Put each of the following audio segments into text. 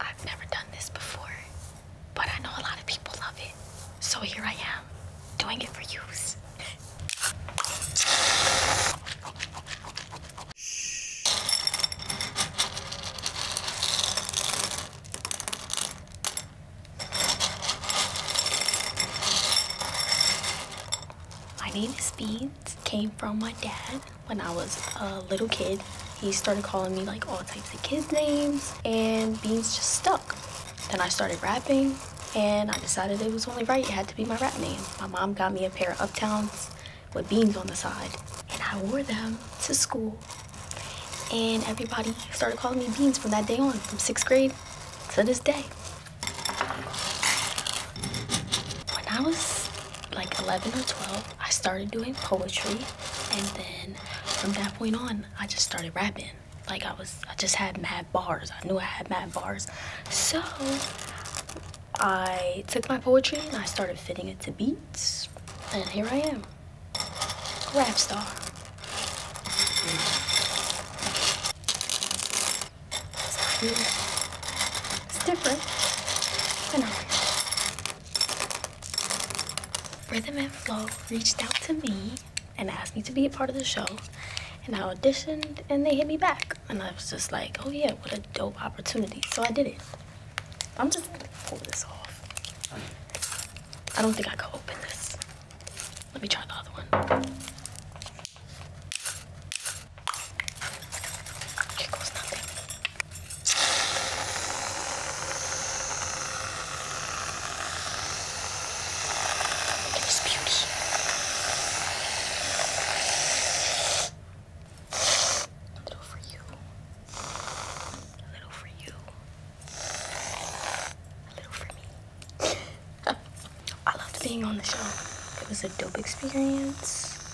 I've never done this before, but I know a lot of people love it. So here I am, doing it for use. My name is Beans, came from my dad when I was a little kid. He started calling me like all types of kids names and Beans just stuck. Then I started rapping and I decided it was only right. It had to be my rap name. My mom got me a pair of Uptowns with Beans on the side and I wore them to school. And everybody started calling me Beans from that day on, from sixth grade to this day. When I was like 11 or 12, I started doing poetry. And then from that point on, I just started rapping. Like I was, I just had mad bars. I knew I had mad bars. So I took my poetry and I started fitting it to beats. And here I am, rap star. It's different Rhythm and Flow reached out to me and asked me to be a part of the show. And I auditioned and they hit me back. And I was just like, oh yeah, what a dope opportunity. So I did it. I'm just going this off. I don't think I could open this. Let me try the other one. Here beauty. A little for you. A little for you. A little for me. I loved being on the show. It was a dope experience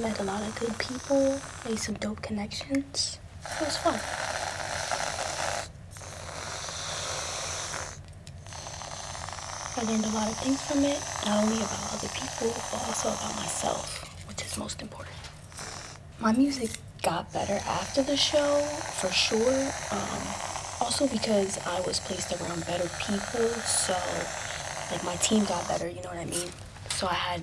met a lot of good people, made some dope connections. It was fun. I learned a lot of things from it, not only about other people, but also about myself, which is most important. My music got better after the show, for sure. Um, also because I was placed around better people. So, like, my team got better, you know what I mean? So, I had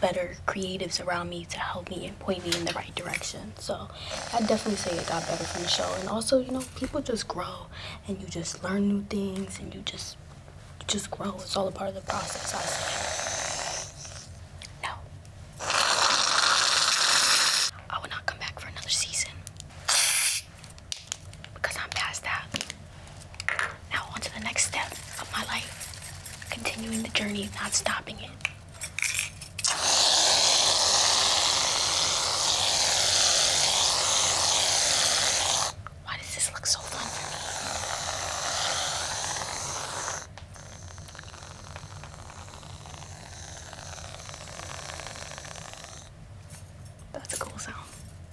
better creatives around me to help me and point me in the right direction. So, I definitely say it got better from the show. And also, you know, people just grow and you just learn new things and you just just grow. It's all a part of the process, I say because I'm past that. Now on to the next step of my life, continuing the journey, not stopping it. Why does this look so fun that's a cool song.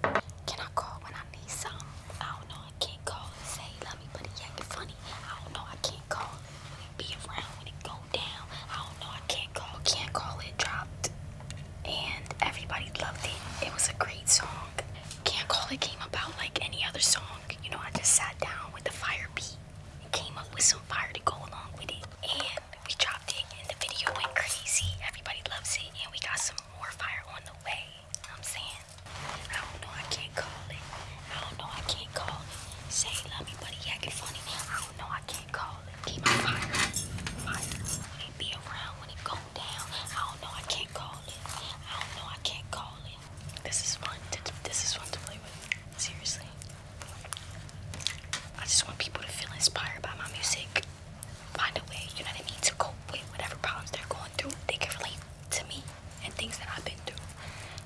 Can I call when I need something? I don't know. I can't call and say love me, but it acting funny. I don't know. I can't call it when it be around, when it go down. I don't know. I can't call. Can't call it dropped, and everybody loved it. It was a great song. Can't call it came about like any other song. You know, I just sat down with the fire beat and came up with some fire to go along with it, and we dropped it and the video went crazy. Everybody loves it and we got some more fire on the way. You know what I'm saying? I don't know, I can't call it. I don't know, I can't call it. Say love me, buddy, acting funny. I don't know, I can't call it. Keep on fire. Fire. When it be around, when it go down. I don't know, I can't call it. I don't know, I can't call it. This is fun. To, this is fun to play with. Seriously. I just want people to feel inspired by my music. Find a way, you know what I mean, to cope with whatever problems they're going through. They can relate to me and things that I've been through.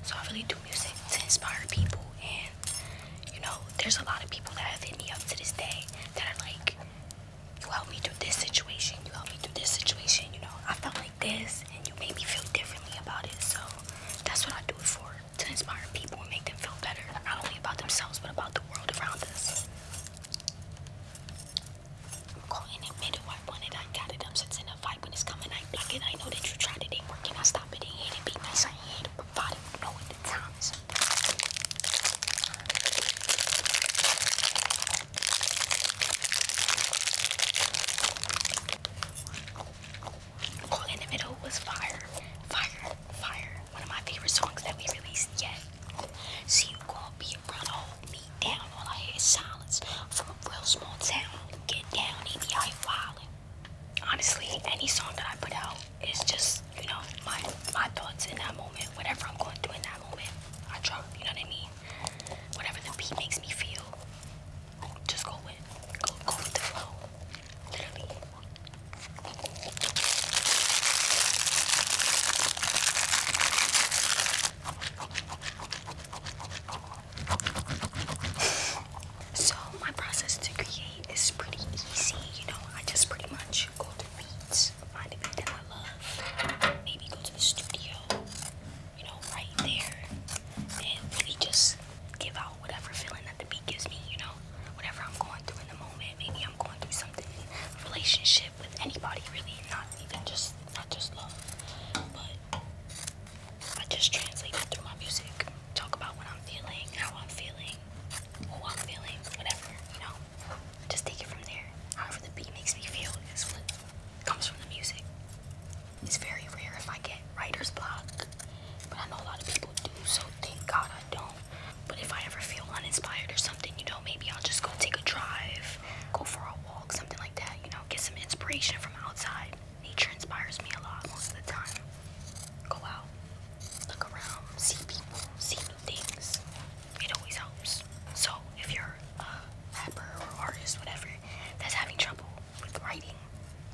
So I really do music to inspire people. And, you know, there's a lot of people that have hit me up to this day that are like, you helped me through this situation, you helped me through this situation, you know, I felt like this and you made me feel differently about it. So that's what I do it for to inspire people and make them feel better, not only about themselves but about the world around us. calling it middle. I want it, I got it. I'm sensing a vibe coming. I block it. I know that you tried it, ain't working. I stop it, ain't it. Be nice, I ain't it. Provide it. Know what the all in the Middle was Fire, Fire, Fire, one of my favorite songs that we released yet. So you gonna be around, hold me down. All I hear is silence from a real small town. Get down, EBI wildin'. Honestly, any song that I put out is just, you know, my my thoughts in that moment, whatever I'm going through in that moment. I try, you know what I mean? Whatever the beat makes me feel, just go with, go, go with the flow so my process to create is pretty easy, you know. I just pretty much go to beats, find a beat that I love, maybe go to the studio, you know, right there, and really just give out whatever feeling that the beat gives me, you know, whatever I'm going through in the moment. Maybe I'm going through something in a relationship with anybody, really, not even just not just love, but I just translate it through my music. Talk about when I'm feeling, how I'm feeling, who I'm feeling, whatever, you know. Just take it from there. However the beat makes me feel is what comes from the music. It's very rare if I get writer's block, but I know a lot of people do, so thank God I don't. But if I ever feel uninspired or something, you know, maybe I'll just go take a drive, go for a walk, something like that, you know, get some inspiration from outside. Nature inspires me a lot most of the time. Go out, look around, see people, see new things. It always helps. So if you're a rapper or artist, whatever, that's having trouble with writing,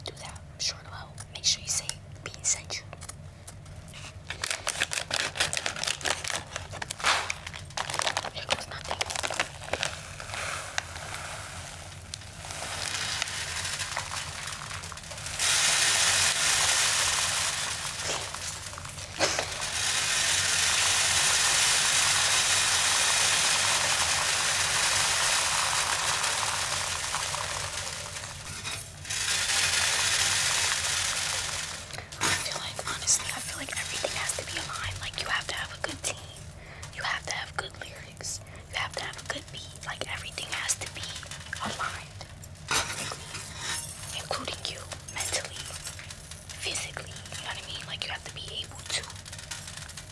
do that. I'm sure it'll help. Make sure you say being sent you. Here goes nothing like, honestly, I feel like everything has to be aligned. Like, you have to have a good team, you have to have good lyrics, you have to have a good beat. Like, everything has to be aligned, including you, mentally, physically. You know what I mean? Like, you have to be able to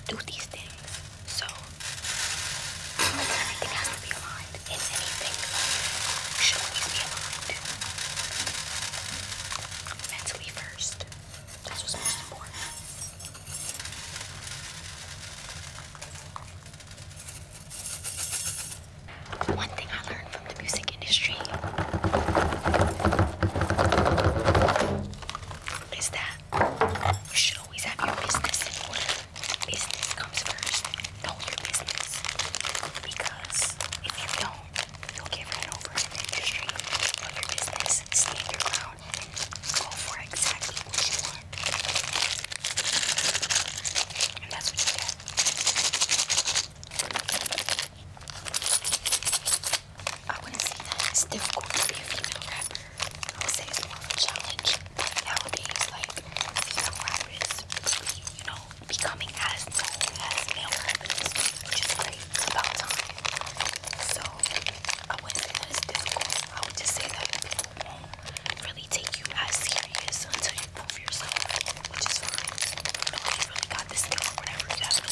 do these things. So everything has to be aligned, and anything should always be aligned. Mentally first. That's what's most important. One thing I learned from the music industry is that you should always have your business in order. Business comes first. Know your business. Because if you don't, you'll get run over in industry. Know your business, stand your ground, go for exactly what you want. that's what I wouldn't say that it's difficult to be a female rapper. I would say it's more of a challenge. But nowadays, like female rappers, really, becoming as known as male rappers, which is great. about time. So I wouldn't say that it's difficult. I would just say that people won't really take you as serious until you prove yourself, which is fine. really got this thing or whatever, you have no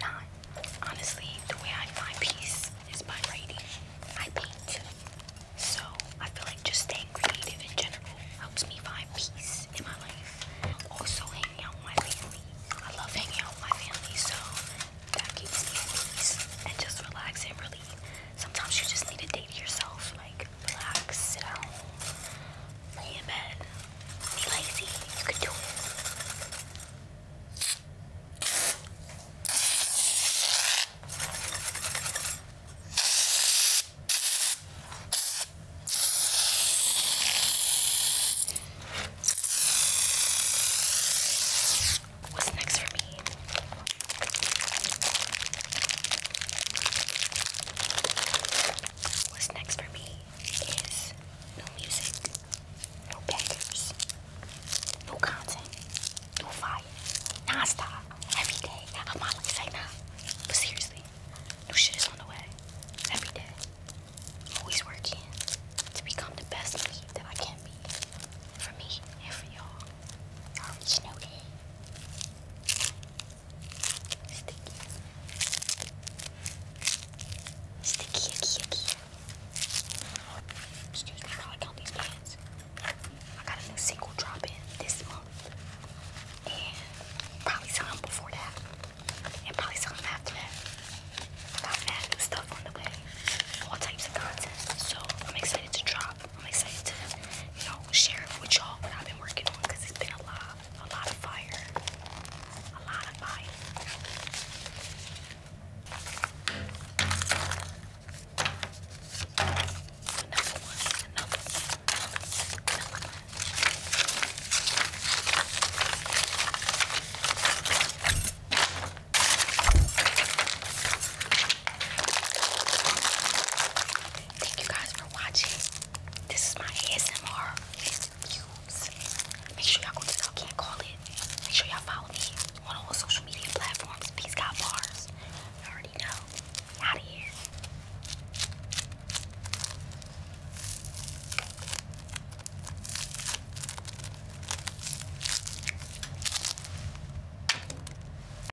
Not. Honestly, the way I find peace is by writing. I paint too. So I feel like just staying creative in general helps me find peace in my life. Also hanging out with my family. I love hanging out with my family, so that keeps me at peace and just relax and relieve. Sometimes you just need a day to yourself, like relax, sit at Lay in Be lazy. You can do it. What's next for me? What's next for me is no music, no beggars, no content, no fire, non-stop, every day. I'm not say nah, but seriously, new shit is on the way. Every day, always working to become the best me that I can be for me and for y'all. Y'all already know that. Sticky. Sticky, sticky. icky. Excuse me while I count these pants. I got a new single drop this month. And probably some before that. And probably some after that. I got mad new stuff on the way. All types of content. So I'm excited to drop. I'm excited to, you know, share with y'all what I've been working on because it's been a lot, a lot of fire, a lot of fire. another one, another one. Thank you guys for watching. This is my ASMR excuse. Make sure y'all go to I can Call It. Make sure y'all follow me on all social media platforms. Peace, God, bars. You already know. Out of here.